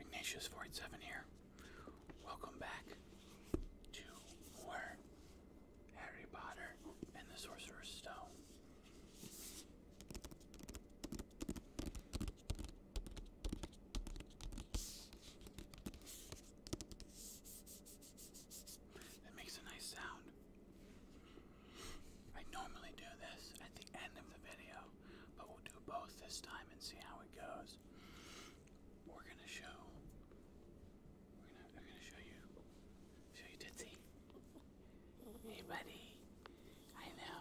Ignatius487 here. Welcome back to more Harry Potter and the Sorcerer's Stone. That makes a nice sound. I normally do this at the end of the video but we'll do both this time and see how it goes. We're gonna show. We're gonna, show you. Show you Tootsie. Hey, buddy. I know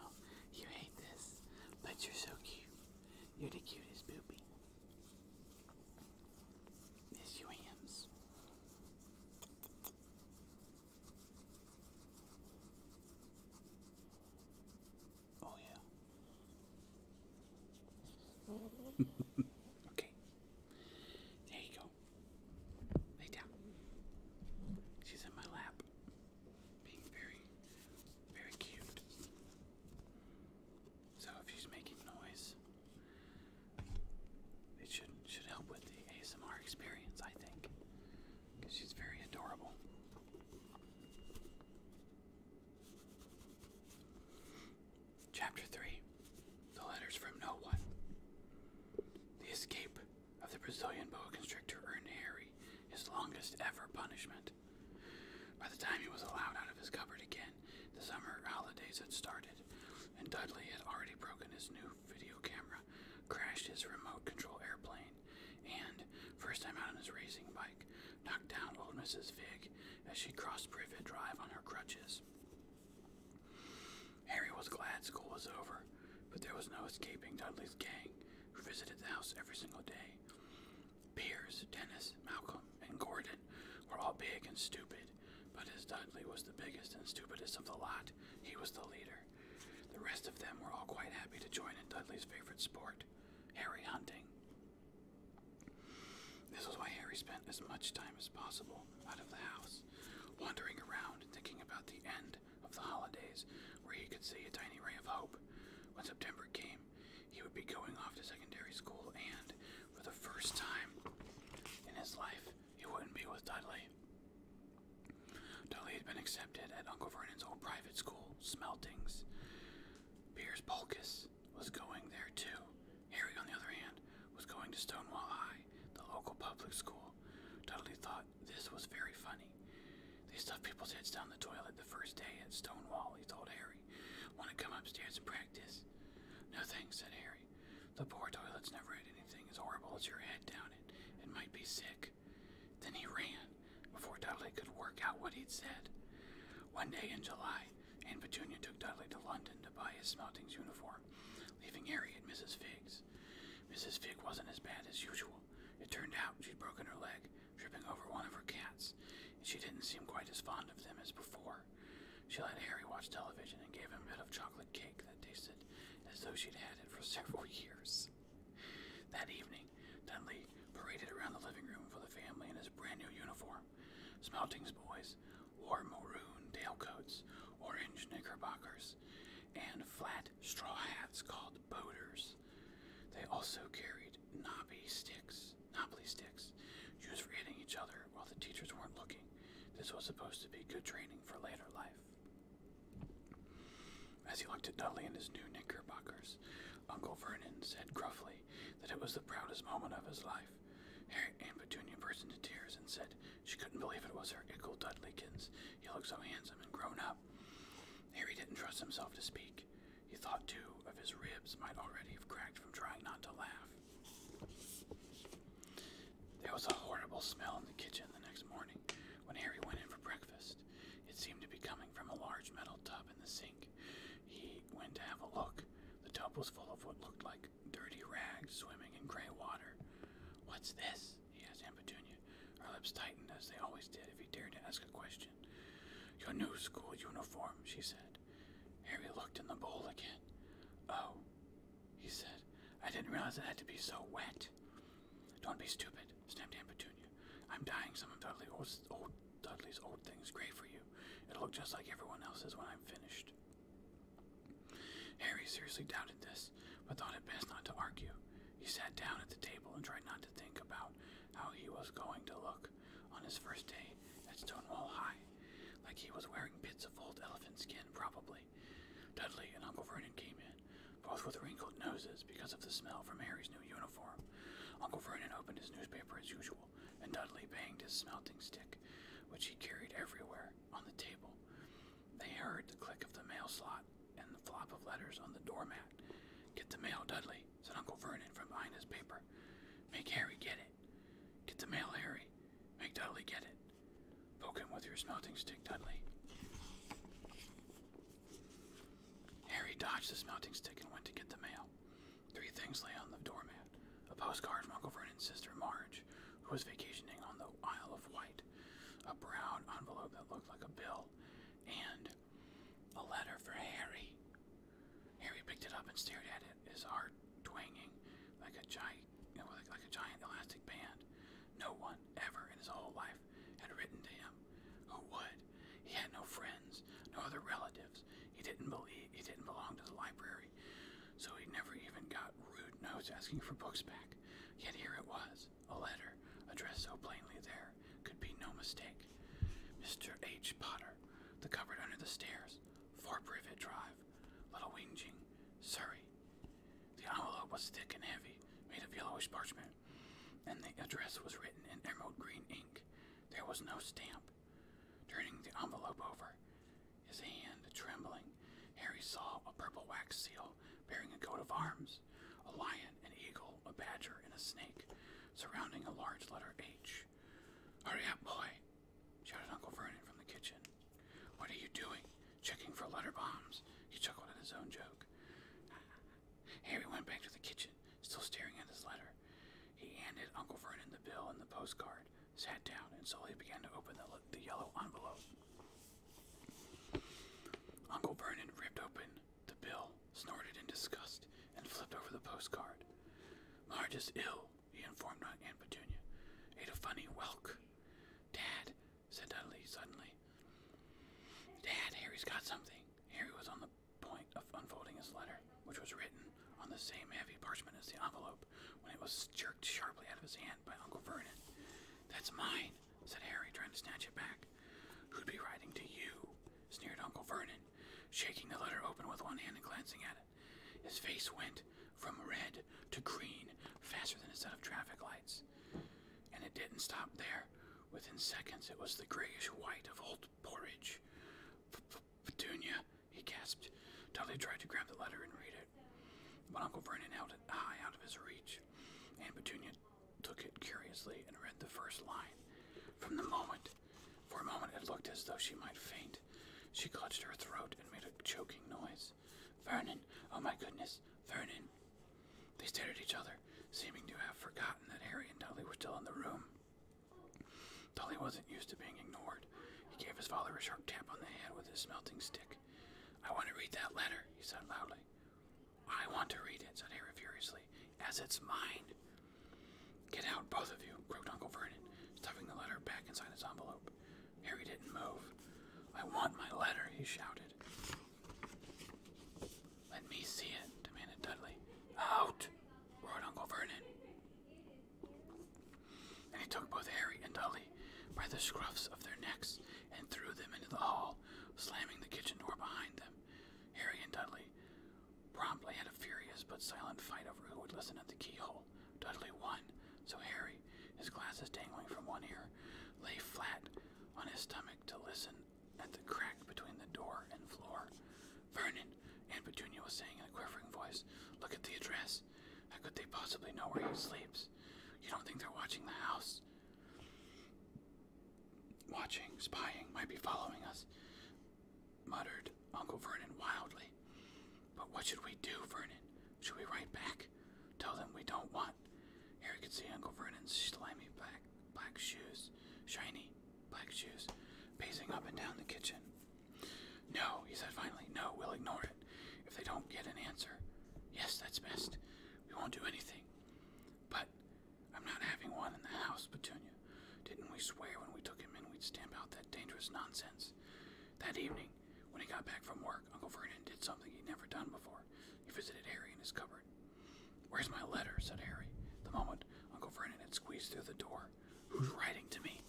you hate this, but you're so cute. You're the cutest poopy. Miss you, hams. Oh, yeah. okay. There you go. Lay down. She's in my lap, being very, very cute. So if she's making noise, it should should help with the ASMR experience, I think because she's very adorable. Chapter 3 The Letters from No One. The escape of the Brazilian boa constrictor earned Harry his longest ever punishment. By the time he was allowed out of his cupboard again, the summer holidays had started, and Dudley had already broken his new video camera, crashed his remote control airplane, and, first time out on his racing bike, knocked down old Mrs. Vig as she crossed Privet Drive on her crutches. Harry was glad school was over, but there was no escaping Dudley's gang, who visited the house every single day. Piers, Dennis, Malcolm, and Gordon were all big and stupid, but as Dudley was the biggest and stupidest of the lot, he was the leader. The rest of them were all quite happy to join in Dudley's favorite sport, Harry hunting. This was why Harry spent as much time as possible out of the house, wandering around and thinking about the end of the holidays where he could see a tiny ray of hope. When September came, he would be going off to secondary school and, for the first time in his life, he wouldn't be with Dudley. Dolly had been accepted at Uncle Vernon's old private school, Smeltings. Piers Polkis was going there too. Harry, on the other hand, was going to Stonewall High, the local public school. Dudley thought this was very funny. They stuffed people's heads down the toilet the first day at Stonewall, he told Harry. Want to come upstairs and practice? No thanks, said Harry. The poor toilet's never had anything as horrible as your head down it. It might be sick. Then he ran before Dudley could work out what he'd said. One day in July, Aunt Petunia took Dudley to London to buy his smelting's uniform, leaving Harry and Mrs. Figg's. Mrs. Figg wasn't as bad as usual. It turned out she'd broken her leg, tripping over one of her cats, and she didn't seem quite as fond of them as before. She let Harry watch television and gave him a bit of chocolate cake that tasted as though she'd had it for several years. That evening, Dunley. paraded around the living room for the family in his brand new uniform. Smelting's boys wore maroon tailcoats, orange knickerbockers, and flat straw hats called boaters. They also carried knobby sticks, knobbly sticks, used for hitting each other while the teachers weren't looking. This was supposed to be good training for later life. As he looked at Dudley in his new knickerbockers, Uncle Vernon said gruffly that it was the proudest moment of his life. Harriet and Petunia burst into tears and said she couldn't believe it was her Ickle Dudleykins. He looked so handsome and grown up. Harry didn't trust himself to speak. He thought too of his ribs might already have cracked from trying not to laugh. There was a horrible smell in the kitchen the next morning when Harry went in for breakfast. It seemed to be coming from a large metal tub in the sink. He went to have a look. The tub was full of what looked like dirty rags swimming in gray water. What's this? he asked Aunt Petunia. Her lips tightened as they always did if he dared to ask a question. Your new school uniform, she said. Harry looked in the bowl again. Oh, he said. I didn't realize it had to be so wet. Don't be stupid, Snap Aunt Petunia. I'm dying some of Dudley old, Dudley's old things. Great for you. It'll look just like everyone else's when I'm finished. Harry seriously doubted this, but thought it best not to argue. He sat down at the table and tried not to think about how he was going to look on his first day at Stonewall High, like he was wearing bits of old elephant skin, probably. Dudley and Uncle Vernon came in both with wrinkled noses because of the smell from Harry's new uniform. Uncle Vernon opened his newspaper as usual, and Dudley banged his smelting stick, which he carried everywhere, on the table. They heard the click of the mail slot and the flop of letters on the doormat. Get the mail, Dudley, said Uncle Vernon from behind his paper. Make Harry get it. Get the mail, Harry. Make Dudley get it. Poke him with your smelting stick, Dudley. Harry dodged the mounting stick and went to get the mail. Three things lay on the doormat a postcard from Uncle Vernon's sister Marge, who was vacationing on the Isle of Wight, a brown envelope that looked like a bill, and a letter for Harry. Harry picked it up and stared at it, his heart twanging like a giant, like a giant elastic band. No one ever in his whole life had written to him. Who would? He had no friends, no other relatives. He didn't believe he didn't belong to the library, so he never even got rude notes asking for books back. Yet here it was, a letter addressed so plainly there could be no mistake. Mr. H. Potter, the cupboard under the stairs, Four Privet Drive, Little Winging, Surrey. The envelope was thick and heavy, made of yellowish parchment, and the address was written in emerald green ink. There was no stamp. Turning the envelope over, his hand trembling, Harry saw a purple wax seal bearing a coat of arms, a lion, an eagle, a badger, and a snake, surrounding a large letter H. Hurry up, boy! shouted Uncle Vernon from the kitchen. What are you doing? Checking for letter bombs? He chuckled at his own joke. Harry went back to the kitchen still staring at his letter. He handed Uncle Vernon the bill and the postcard, sat down, and slowly began to open the, yellow envelope. Uncle Vernon ripped open the bill, snorted in disgust, and flipped over the postcard. Marge is ill, he informed Aunt Virginia. Ate a funny whelk. Dad, said Dudley suddenly. Dad, Harry's got something. Harry was on the point of unfolding his letter, which was written on the same heavy parchment as the envelope, when it was jerked sharply out of his hand by Uncle Vernon. That's mine, said Harry, trying to snatch it back. Who'd be writing to you? sneered Uncle Vernon, shaking the letter open with one hand and glancing at it. His face went from red to green faster than a set of traffic lights. And it didn't stop there. Within seconds, it was the grayish white of old porridge. Petunia, he gasped. Dolly tried to grab the letter and read it, but Uncle Vernon held it high out of his reach, and Petunia took it curiously and read the first line. From the moment, for a moment it looked as though she might faint. She clutched her throat and made a choking noise. Vernon, oh my goodness, Vernon. They stared at each other, seeming to have forgotten that Harry and Dudley were still in the room. Dudley wasn't used to being ignored. He gave his father a sharp tap on the head with his smelting stick. I want to read that letter, he said loudly. I want to read it, said Harry furiously, as it's mine. Get out, both of you, croaked Uncle Vernon, stuffing the letter back inside its envelope. Harry didn't move. I want my letter, he shouted. Let me see it, demanded Dudley. Out! roared Uncle Vernon. And he took both Harry and Dudley by the scruffs of their necks and threw them into the hall, slamming the kitchen door behind them. Harry and Dudley promptly had a furious but silent fight over who would listen at the keyhole. Dudley won, so Harry, his glasses dangling from one ear, lay flat on his stomach to listen at the crack between the door and floor. Vernon, Aunt Petunia was saying in a quivering voice, look at the address. How could they possibly know where he sleeps? You don't think they're watching the house? Watching, spying, might be following us, muttered Uncle Vernon wildly. But what should we do, Vernon? Should we write back? Tell them we don't want. Harry could see Uncle Vernon's slimy black, black shoes, shiny Black Shoes, pacing up and down the kitchen. No, he said finally. No, we'll ignore it. If they don't get an answer, yes, that's best. We won't do anything. But I'm not having one in the house, Petunia. Didn't we swear when we took him in we'd stamp out that dangerous nonsense? That evening, when he got back from work, Uncle Vernon did something he'd never done before. He visited Harry in his cupboard Where's my letter? said Harry. The moment Uncle Vernon had squeezed through the door. Who's writing to me?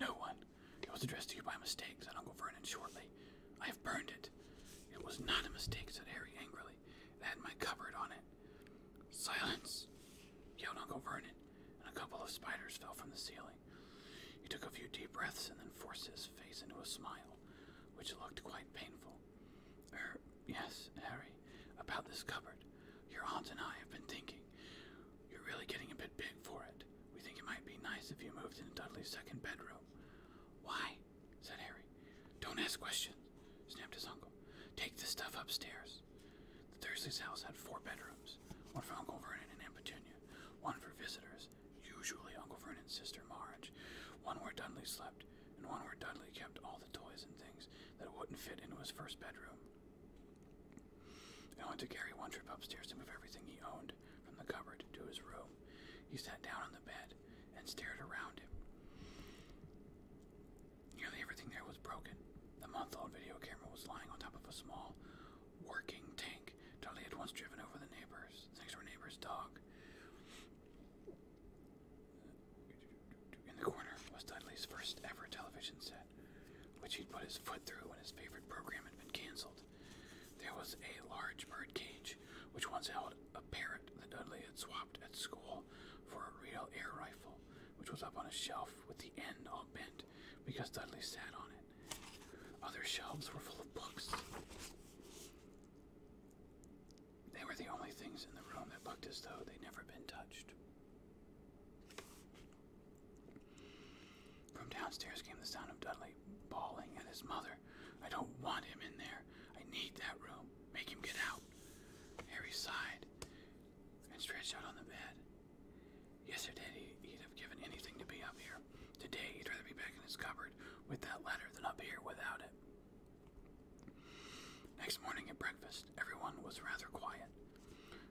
No one. It was addressed to you by mistake, said Uncle Vernon shortly. I have burned it. It was not a mistake, said Harry angrily. It had my cupboard on it. Silence! yelled Uncle Vernon, and a couple of spiders fell from the ceiling. He took a few deep breaths and then forced his face into a smile, which looked quite painful. Er, yes, Harry, about this cupboard. Your aunt and I have been thinking. You're really getting a bit big for it. We think it might be nice if you moved into Dudley's second bedroom. Why? said Harry. Don't ask questions, snapped his uncle. Take the stuff upstairs. The Thursday's house had four bedrooms one for Uncle Vernon and Aunt Petunia, one for visitors, usually Uncle Vernon's sister Marge, one where Dudley slept, and one where Dudley kept all toys and things that wouldn't fit into his first bedroom. He only took Gary one trip upstairs to move everything he owned from the cupboard to his room. He sat down on the bed and stared around him. Nearly everything there was broken. The month old video camera was lying on top of a small, working tank. Charlie had once driven over the neighbor's next door neighbor's dog. In the corner was Dudley's first ever television set, which he'd put his foot through when his favorite program had been cancelled. There was a large bird cage, which once held a parrot that Dudley had swapped at school for a real air rifle, which was up on a shelf with the end all bent because Dudley sat on it. Other shelves were full of books. They were the only things in the room that looked as though they'd never been touched. From downstairs came the sound of Dudley bawling at his mother. I don't want him in there. I need that room. Make him get out. Harry sighed and stretched out on the bed. Yesterday he'd have given anything to be up here. Today he'd rather be back in his cupboard with that letter than up here without it. Next morning at breakfast, everyone was rather quiet.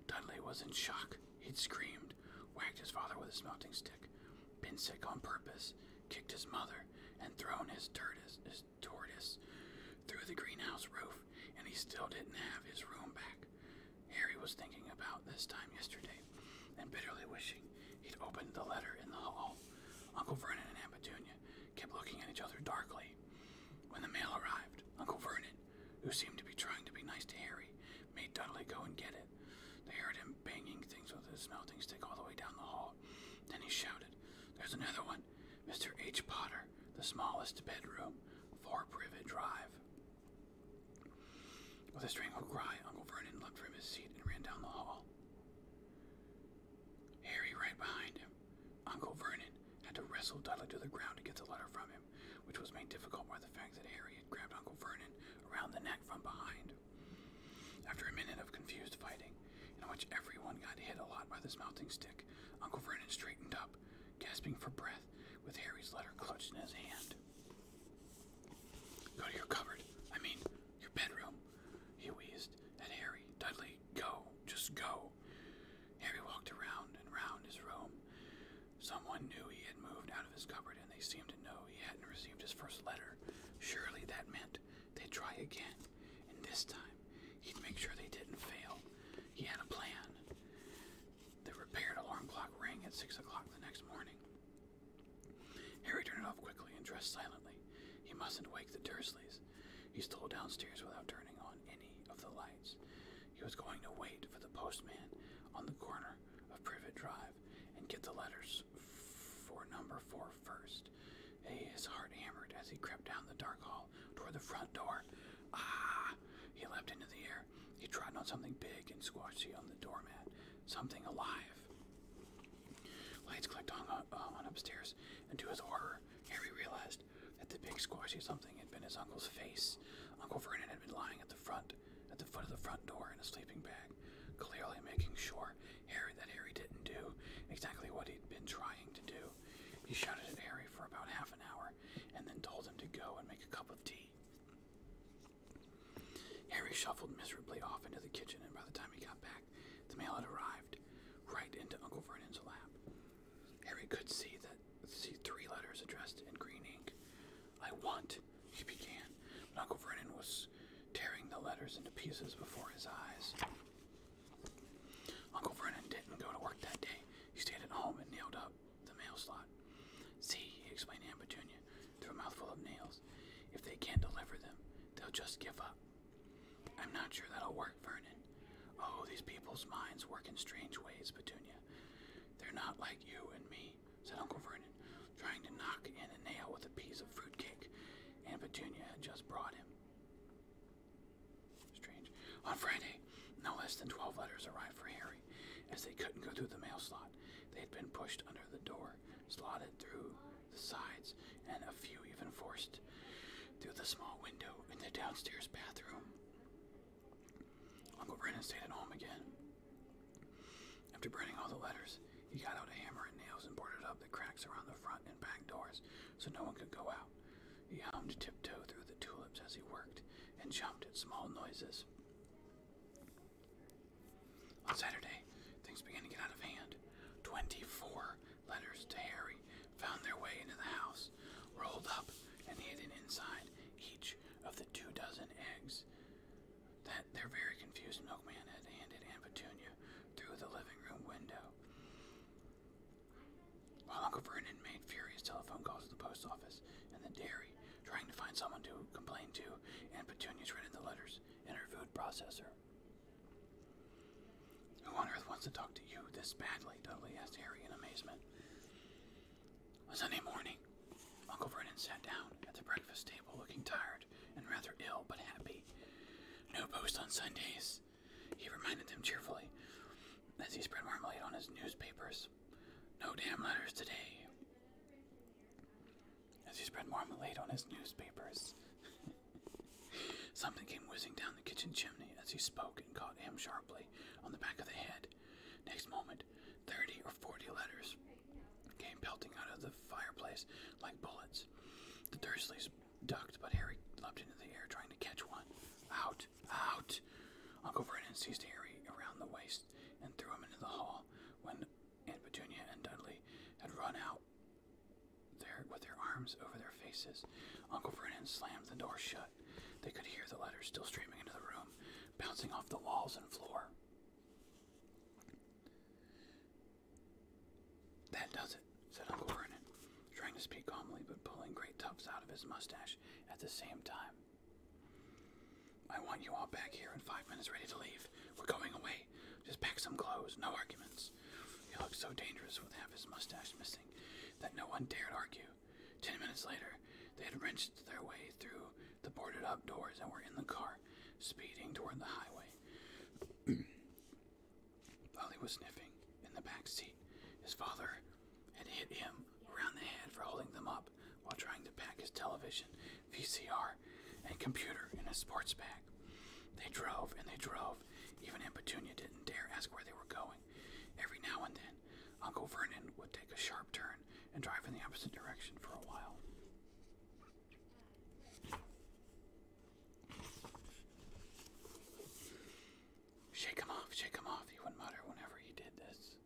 Dudley was in shock. He'd screamed, whacked his father with his melting stick, been sick on purpose, kicked his mother, and thrown his tortoise, his tortoise through the greenhouse roof, and he still didn't have his room back. Harry was thinking about this time yesterday and bitterly wishing he'd opened the letter in the hall. Uncle Vernon and Aunt Petunia kept looking at each other darkly. When the mail arrived, Uncle Vernon, who seemed to be trying to be nice to Harry, made Dudley go and get it. They heard him banging things with his melting stick all the way down the hall. Then he shouted, There's another one! Mr. H. Potter, the smallest bedroom, for Privet Drive. With a strangled cry, Uncle Vernon leaped from his seat and ran down the hall. Harry right behind him. Uncle Vernon had to wrestle Dudley to the ground to get the letter from him, which was made difficult by the fact that Harry had grabbed Uncle Vernon around the neck from behind. After a minute of confused fighting, in which everyone got hit a lot by this melting stick, Uncle Vernon straightened up, gasping for breath, with Harry's letter clutched in his hand. Go to your cupboard, I mean, your bedroom, he wheezed "And Harry. Dudley, go, just go. Harry walked around and round his room. Someone knew he had moved out of his cupboard, and they seemed to know he hadn't received his first letter. Surely that meant they'd try again, and this time he'd make sure they didn't fail. He had a plan. The repaired alarm clock rang at six o'clock the next morning. Harry turned it off quickly and dressed silently. He mustn't wake the Dursleys. He stole downstairs without turning on any of the lights. He was going to wait for the postman on the corner of Privet Drive and get the letters for number four first. His heart hammered as he crept down the dark hall toward the front door. Ah! He leapt into the air. He trod on something big and squashy on the doormat. Something alive. Lights clicked on, uh, on upstairs, and to his horror, Harry realized that the big squashed something had been his uncle's face. Uncle Vernon had been lying at the front, at the foot of the front door in a sleeping bag, clearly making sure Harry that Harry didn't do exactly what he'd been trying to do. He shouted at Harry for about half an hour and then told him to go and make a cup of tea. Harry shuffled miserably off into the kitchen, and by the time he got back, the mail had arrived right into Uncle Vernon's lap. Harry could see that see three letters addressed in green ink. I want, he began, but Uncle Vernon was tearing the letters into pieces before his eyes. Uncle Vernon didn't go to work that day. He stayed at home and nailed up the mail slot. See, he explained to Aunt Junior, through a mouthful of nails, if they can't deliver them, they'll just give up. I'm not sure that'll work, Vernon. Oh, these people's minds work in strange ways, Petunia. They're not like you and me, said Uncle Vernon, trying to knock in a nail with a piece of fruitcake Aunt Petunia had just brought him. Strange. On Friday, no less than twelve letters arrived for Harry, as they couldn't go through the mail slot. They had been pushed under the door, slotted through the sides, and a few even forced through the small window in the downstairs bathroom. Uncle Brennan stayed at home again. After burning all the letters, he got out a hammer and nails and boarded up the cracks around the front and back doors so no one could go out. He hummed tiptoe through the tulips as he worked and jumped at small noises. On Saturday, things began to get out of hand. 24 letters to Harry found their way into the house, rolled up and hidden inside each of the two dozen eggs that their very confused milkman had handed Aunt Petunia through the living room window. Uncle Vernon made furious telephone calls to the post office and the dairy, trying to find someone to complain to, Aunt Petunia's rented the letters in her food processor. Who on earth wants to talk to you this badly? Dudley asked Harry in amazement. Sunday morning, Uncle Vernon sat down at the breakfast table looking tired and rather ill but happy. No post on Sundays, he reminded them cheerfully as he spread marmalade on his newspapers. No damn letters today. As he spread marmalade on his newspapers. Something came whizzing down the kitchen chimney as he spoke and caught him sharply on the back of the head. Next moment, thirty or forty letters came pelting out of the fireplace like bullets. The Dursleys ducked, but Harry leapt into the air trying to catch one. Out! Out! Uncle Vernon seized Harry around the waist and threw him into the hall when Aunt Petunia and Dudley had run out their, with their arms over their faces. Uncle Vernon slammed the door shut. They could hear the letters still streaming into the room, bouncing off the walls and floor. That does it, said Uncle Vernon, trying to speak calmly but pulling great tufts out of his mustache at the same time. I want you all back here in five minutes ready to leave. We're going away. Just pack some clothes, no arguments. He looked so dangerous with half his mustache missing that no one dared argue. Ten minutes later, they had wrenched their way through the boarded up doors and were in the car, speeding toward the highway. Ollie was sniffing in the back seat. His father had hit him around the head for holding them up while trying to pack his television, VCR, and computer in a sports bag. They drove and they drove. Even Aunt Petunia didn't dare ask where they were going. Every now and then, Uncle Vernon would take a sharp turn and drive in the opposite direction for a while. Shake him off, shake him off, he would mutter whenever he did this.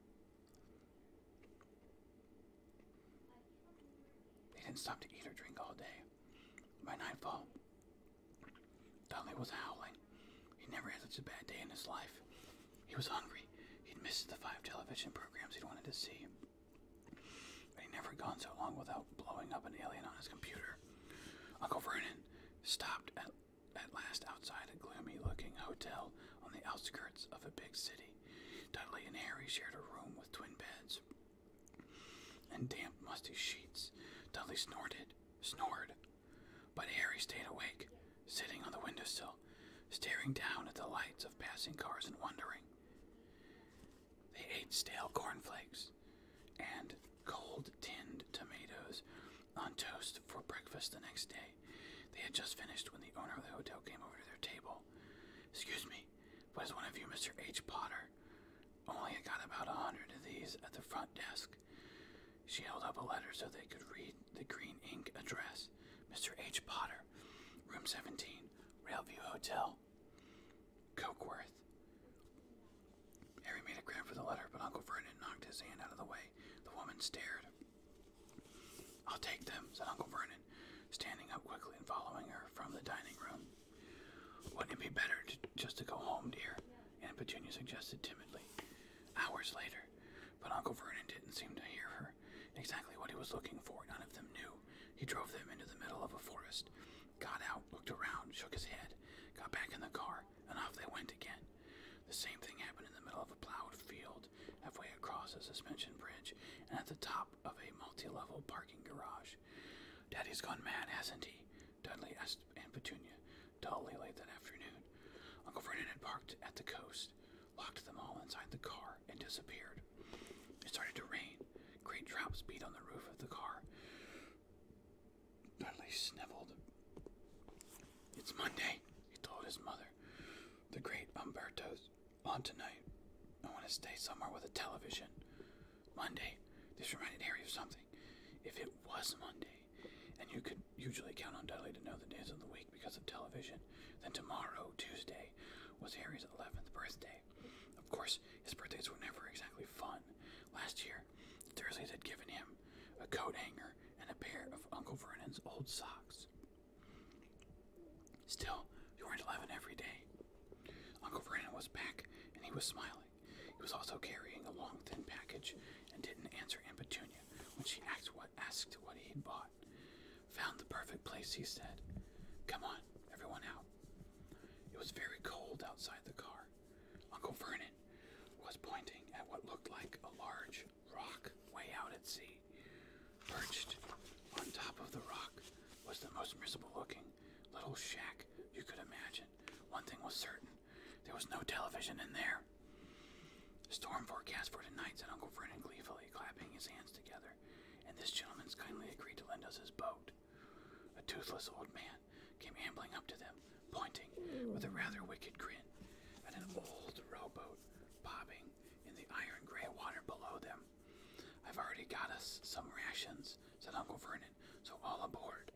They didn't stop to eat or drink all day. By nightfall, Dudley was howling. He never had such a bad day in his life. He was hungry. He'd missed the five television programs he'd wanted to see. But he'd never gone so long without blowing up an alien on his computer. Uncle Vernon stopped at, at last outside a gloomy looking hotel on the outskirts of a big city. Dudley and Harry shared a room with twin beds and damp, musty sheets. Dudley snorted, snored but Harry stayed awake, sitting on the windowsill, staring down at the lights of passing cars and wondering. They ate stale cornflakes and cold tinned tomatoes on toast for breakfast the next day. They had just finished when the owner of the hotel came over to their table. Excuse me, but is one of you Mr. H. Potter? Only I got about a hundred of these at the front desk. She held up a letter so they could read the green ink address. Mr. H. Potter, Room 17, Railview Hotel, Cokeworth. Harry made a grab for the letter, but Uncle Vernon knocked his hand out of the way. The woman stared. I'll take them, said Uncle Vernon, standing up quickly and following her from the dining room. Wouldn't it be better just to go home, dear? And Petunia suggested timidly. Hours later, but Uncle Vernon didn't seem to hear her. Exactly what he was looking for, none of them knew. He drove them into the middle of a forest, got out, looked around, shook his head, got back in the car, and off they went again. The same thing happened in the middle of a plowed field, halfway across a suspension bridge, and at the top of a multi level parking garage. Daddy's gone mad, hasn't he? Dudley asked Aunt Petunia, dully late that afternoon. Uncle Vernon had parked at the coast, locked them all inside the car, and disappeared. It started to rain. Great drops beat on the roof of the car. Dudley sniveled. It's Monday, he told his mother. The great Umberto's on tonight. I want to stay somewhere with a television. Monday. This reminded Harry of something. If it was Monday, and you could usually count on Dudley to know the days of the week because of television. Then tomorrow, Tuesday, was Harry's 11th birthday. Of course, his birthdays were never exactly fun. Last year, Thursdays had given him a coat hanger and a pair of Uncle Vernon's old socks. Still, you weren't 11 every day. Uncle Vernon was back, and he was smiling. He was also carrying a long, thin package and didn't answer Aunt Petunia when she asked what, asked what he had bought. Found the perfect place, he said. Come on, everyone out. It was very cold outside the car. Uncle Vernon was pointing at what looked like a large rock way out at sea. Perched on top of the rock was the most miserable looking little shack you could imagine. One thing was certain there was no television in there. Storm forecast for tonight, said Uncle Vernon gleefully, clapping his hands together. And this gentleman's kindly agreed to lend us his boat. A toothless old man came ambling up to them, pointing with a rather wicked grin at an old rowboat bobbing in the iron gray water below them. I've already got us some rations, said Uncle Vernon, so all aboard.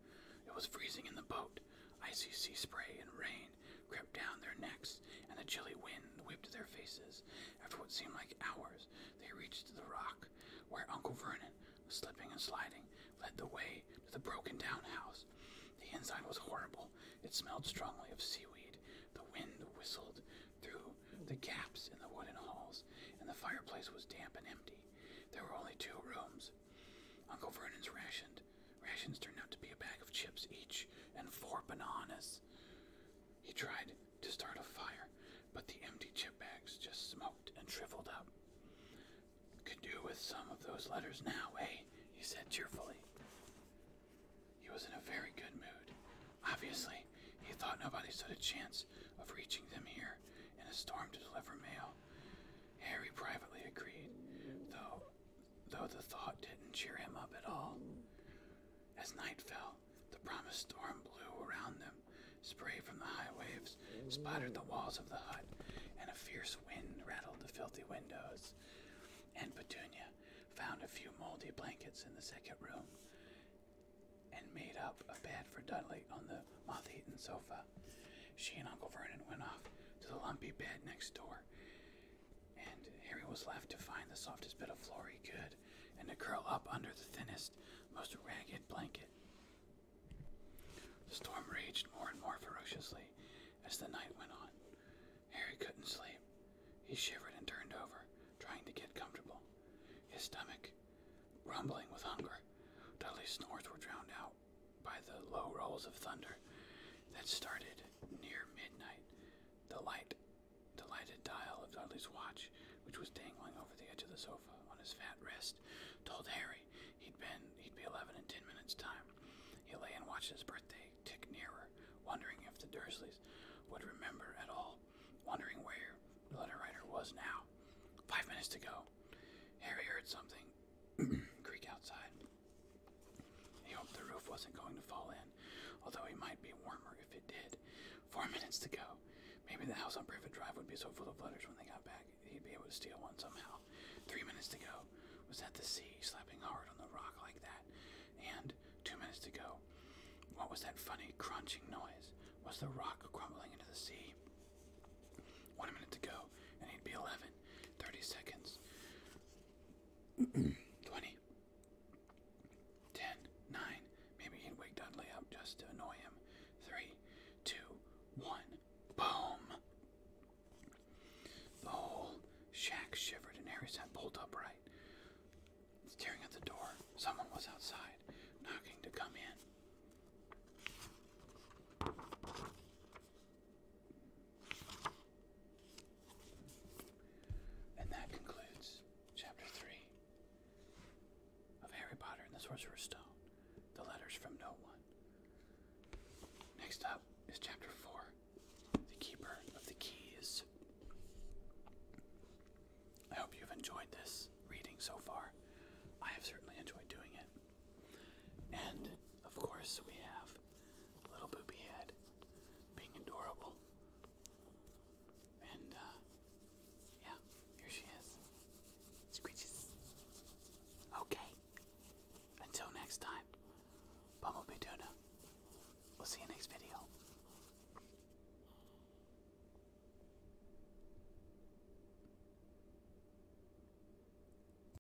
It was freezing in the boat. Icy sea spray and rain crept down their necks, and the chilly wind whipped their faces. After what seemed like hours, they reached the rock, where Uncle Vernon, slipping and sliding, led the way to the broken-down house. The inside was horrible. It smelled strongly of seaweed. The wind whistled through the gaps in the wooden halls, and the fireplace was damp and empty. There were only two rooms. Uncle Vernon's rationed Rations turned out to be a bag of chips each and four bananas. He tried to start a fire, but the empty chip bags just smoked and shriveled up. Can do with some of those letters now, eh? he said cheerfully. He was in a very good mood. Obviously, he thought nobody stood a chance of reaching them here in a storm to deliver mail. Harry privately agreed, though though the thought didn't cheer him up at all. As night fell, the promised storm blew around them. Spray from the high waves splattered the walls of the hut, and a fierce wind rattled the filthy windows. And Petunia found a few moldy blankets in the second room and made up a bed for Dudley on the moth eaten sofa. She and Uncle Vernon went off to the lumpy bed next door, and Harry was left to find the softest bit of floor he could and to curl up under the thinnest, most ragged blanket. The storm raged more and more ferociously as the night went on. Harry couldn't sleep. He shivered and turned over, trying to get comfortable. His stomach, rumbling with hunger, Dudley's snores were drowned out by the low rolls of thunder that started near midnight. The light, the lighted dial of Dudley's watch, which was dangling over the edge of the sofa on his fat wrist, told Harry he would be eleven in ten minutes' time. He lay and watched his birthday tick nearer, wondering if the Dursleys would remember at all, wondering where the letter writer was now. Five minutes to go. Harry heard something creak outside. He hoped the roof wasn't going to fall in, although it might be warmer if it did. Four minutes to go. Maybe the house on Privet Drive would be so full of letters when they got back, he'd be able to steal one somehow. Three minutes to go. Was that the sea slapping hard on the rock like that? And two minutes to go. What was that funny crunching noise? Was the rock crumbling into the sea? One minute to go, and he'd be 11. 30 seconds. 20, 10, 9. Maybe he'd wake Dudley up just to annoy him. 3, 2, 1. Boom! The whole shack shivered and Harry sat bolt upright, staring at the door. Someone was outside, knocking to come in. And that concludes Chapter 3 of Harry Potter and the Sorcerer's Stone The Letters from No One. Next up is Chapter 4 The Keeper of the Keys. I hope you've enjoyed this reading so far. I have certainly enjoyed doing it. And, of course, we have of Little Boopy Head being adorable. And, uh, yeah, here she is. Screeches. Okay. Until next time, Bumblebee Tuna. We'll see you next video.